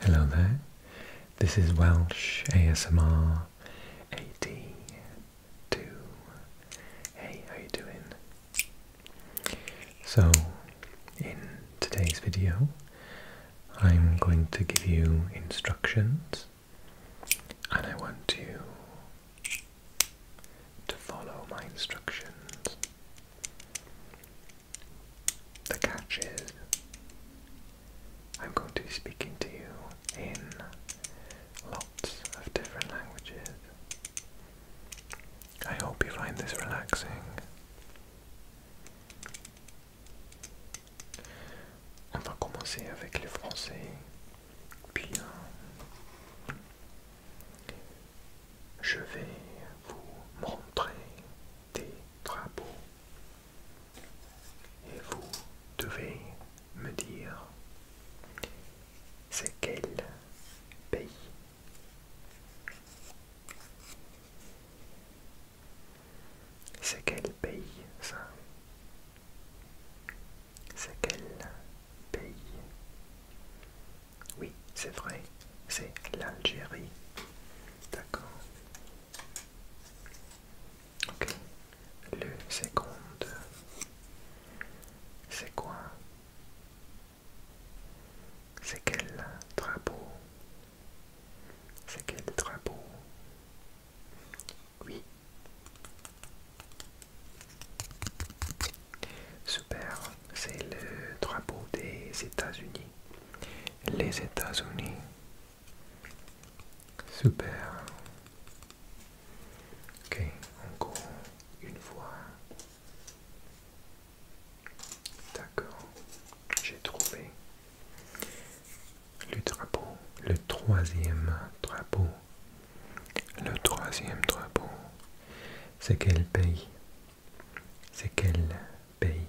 Hello there, this is Welsh ASMR 82. Hey, how you doing? So, in today's video, I'm going to give you instructions and I want you to follow my instructions. The catch is I'm going to be speaking to you in lots of different languages. I hope you find this relaxing. Et vous devez me dire c'est quel pays. C'est quel pays ça C'est quel pays Oui, c'est vrai, c'est l'Algérie. D'accord. Ok. Le second, c'est quoi C'est quel drapeau C'est quel drapeau Oui. Super, c'est le drapeau des États-Unis les États-Unis. Super. Ok, encore une fois. D'accord, j'ai trouvé le drapeau, le troisième drapeau. Le troisième drapeau, c'est quel pays C'est quel pays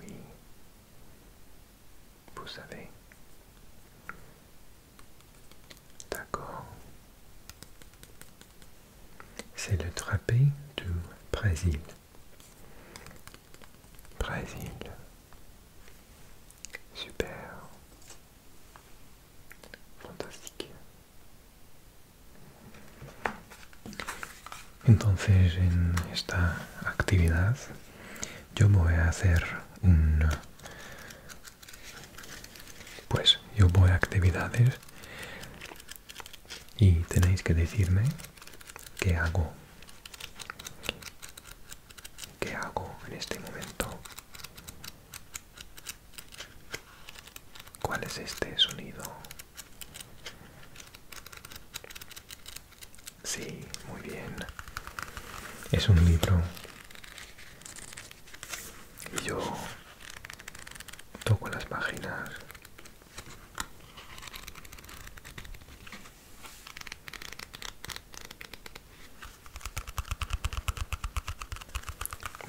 oui, vous savez. D'accord. C'est le trapé du Brésil. Brésil. Super. Fantastique. Entonces en esta actividad yo voy a hacer un... Pues yo voy a actividades y tenéis que decirme qué hago. ¿Qué hago en este momento? ¿Cuál es este sonido? Sí, muy bien. Es un libro. Y yo toco las páginas.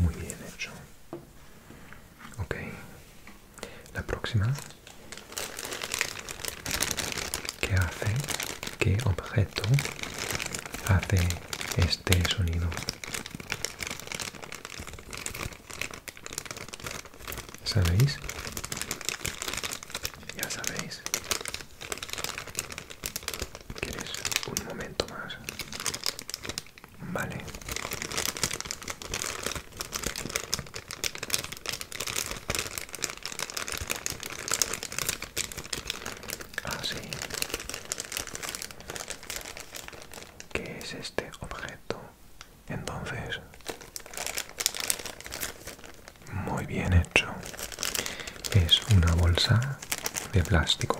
Muy bien hecho. Ok. La próxima. ¿Qué hace? ¿Qué objeto hace este sonido? ¿Sabéis? Ya sabéis. ¿Quieres un momento más? Vale. Así. Ah, ¿Qué es este objeto? Entonces... Muy bien hecho. Es una bolsa de plástico.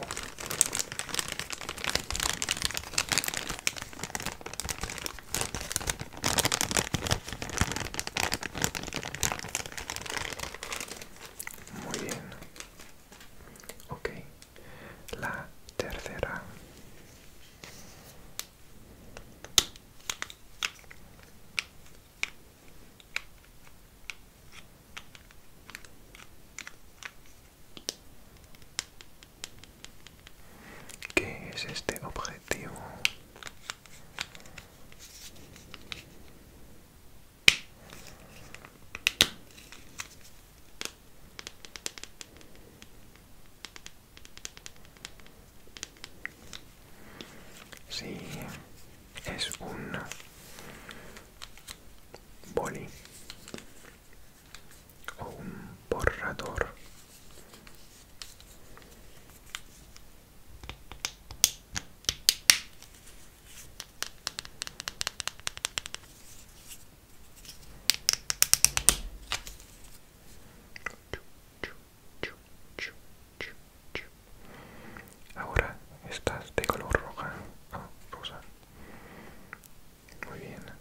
Muy bien. Ok. La tercera. ¿Qué es este objetivo? Sí, es un boli un borrador Ahora estás de color roja, rosa. Уверена.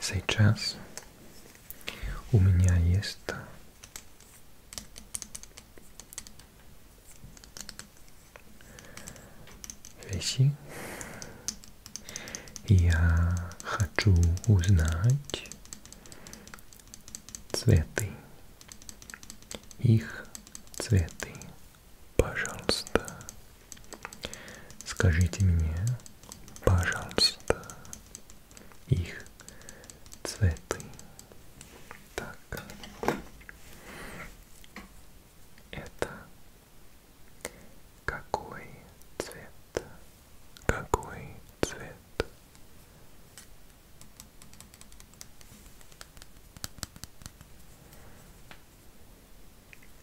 Сейчас у меня есть вещи. Я хочу узнать цветы. Их цветы. Пожалуйста. Скажите мне, пожалуйста, их цветы. Так. Это какой цвет? Какой цвет?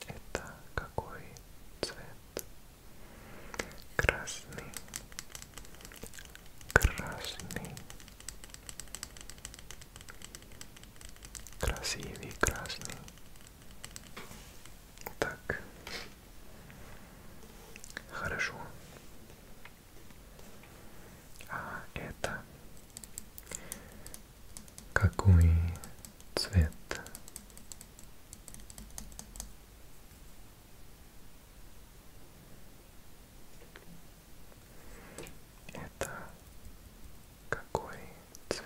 Это какой цвет? Красный, красный, красивый красный. Так, хорошо. А это какой цвет? Это какой цвет?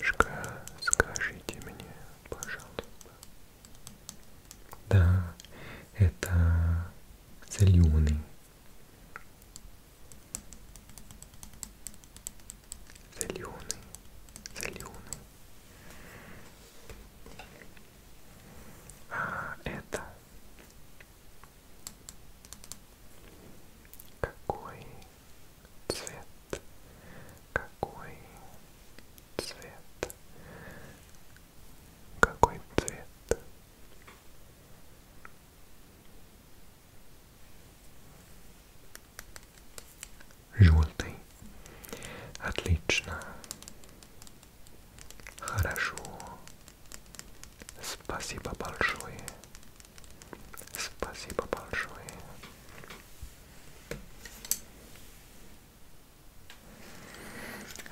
Шка, скажите мне, пожалуйста. Да, это соленый. Соленый, соленый. А это какой цвет, какой цвет, какой цвет. Желтый. Отлично. Хорошо. Спасибо большое. Спасибо большое.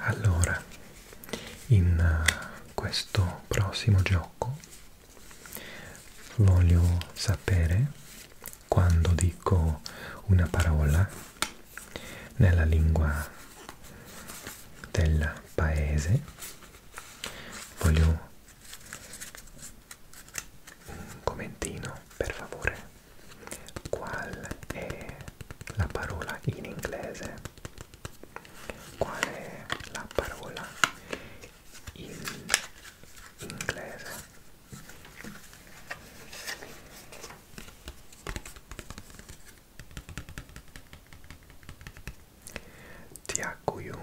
Allora, in eh, questo prossimo gioco voglio sapere quando dico una parola nella lingua del paese voglio un commentino per favore qual è la parola in inglese qual è la parola in inglese ti auguro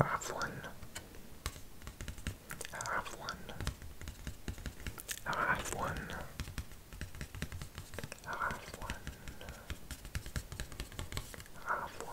عفوا عفوا عفوا عفوا عفوا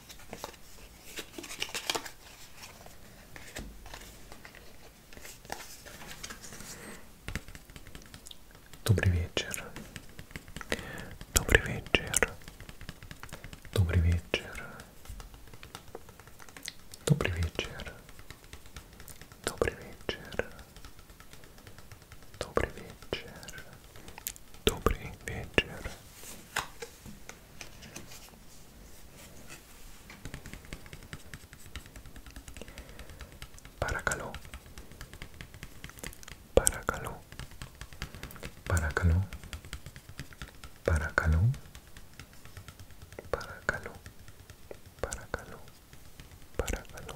Добрый вечер. Добрый вечер. Добрый вечер. Добрый вечер. Добрый вечер. Добрый вечер. Добрый вечер. Paracaló, para Paracaló, para Paracaló, para Paracaló.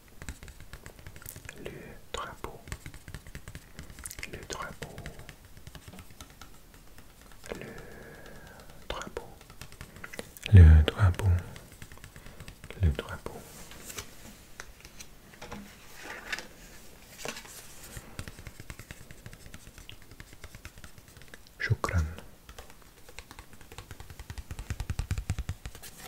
le drapeau, le drapeau, le drapeau, le drapeau, le drapeau. Shukran.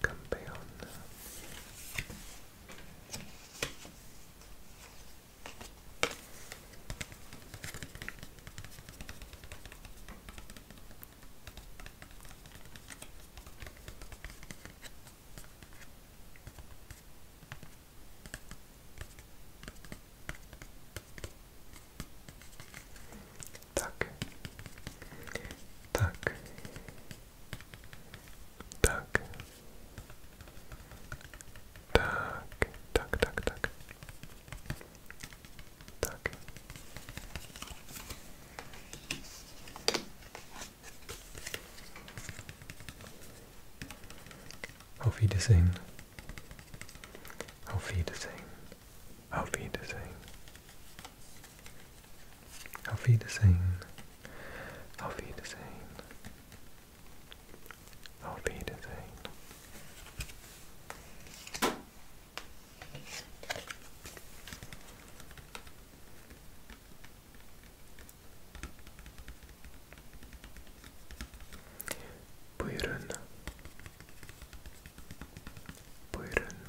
campeón tak, tak, tak, tak, tak, tak, tak, tak. Auf Wiedersehen. Auf Wiedersehen. Auf Wiedersehen. I'll I'll feed the same. Auf Wiedersehen. Auf Wiedersehen. Auf Wiedersehen. Buyurun. Buyurun.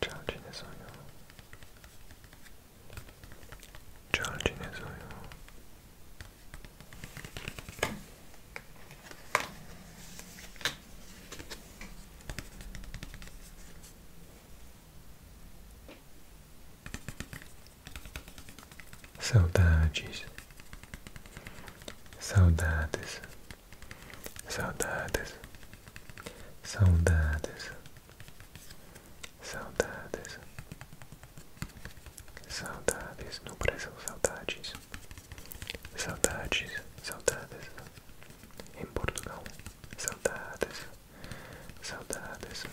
charging his oil, charging Saudades, saudades. Saudades, saudades, saudades, saudades, no Brasil, saudades, saudades, saudades, em Portugal, saudades, saudades.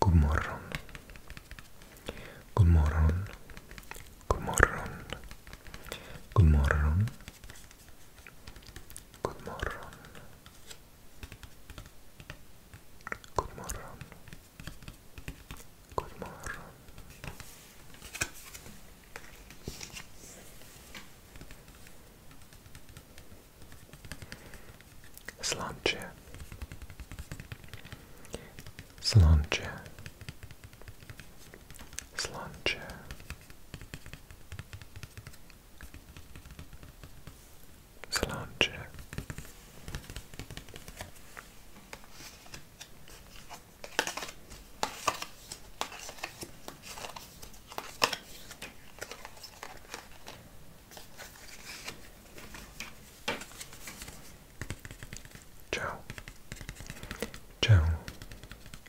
Good morning. Good morning. Good morning. Good morning. God morgon. God morgon. God morgon. Slanche. Slanche. Slanche. Slange. Ciao. Ciao.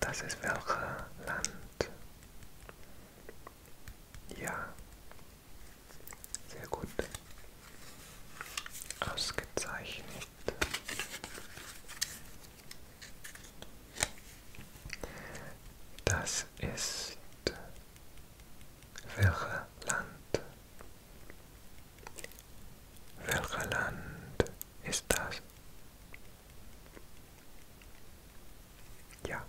Das ist welcher Land? Ja. Sehr gut. Ausgezeichnet. Das ist welcher Land? Welcher Land ist das? Ja.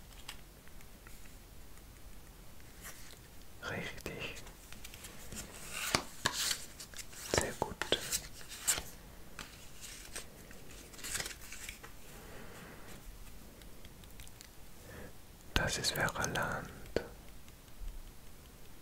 Richtig. Sehr gut. Das ist Verland.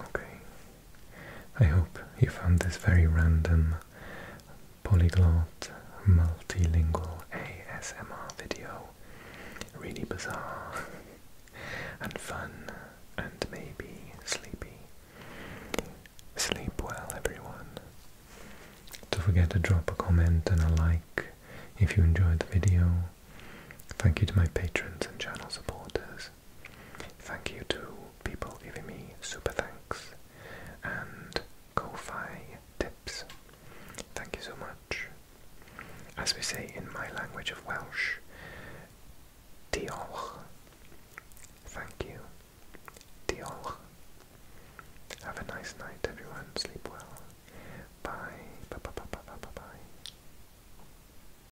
Okay. I hope you found this very random polyglot multilingual ASMR video really bizarre and fun and maybe sleepy. Sleep well everyone. Don't forget to drop a comment and a like if you enjoyed the video. Thank you to my patrons and channel supporters. Thank you to people giving me super thanks and Kofi tips. Thank you so much. As we say in my language of Welsh, diolch. Thank you. Diolch. Have a nice night, everyone. Sleep well. Bye. Bye. Bye. Bye. Bye. Bye. bye.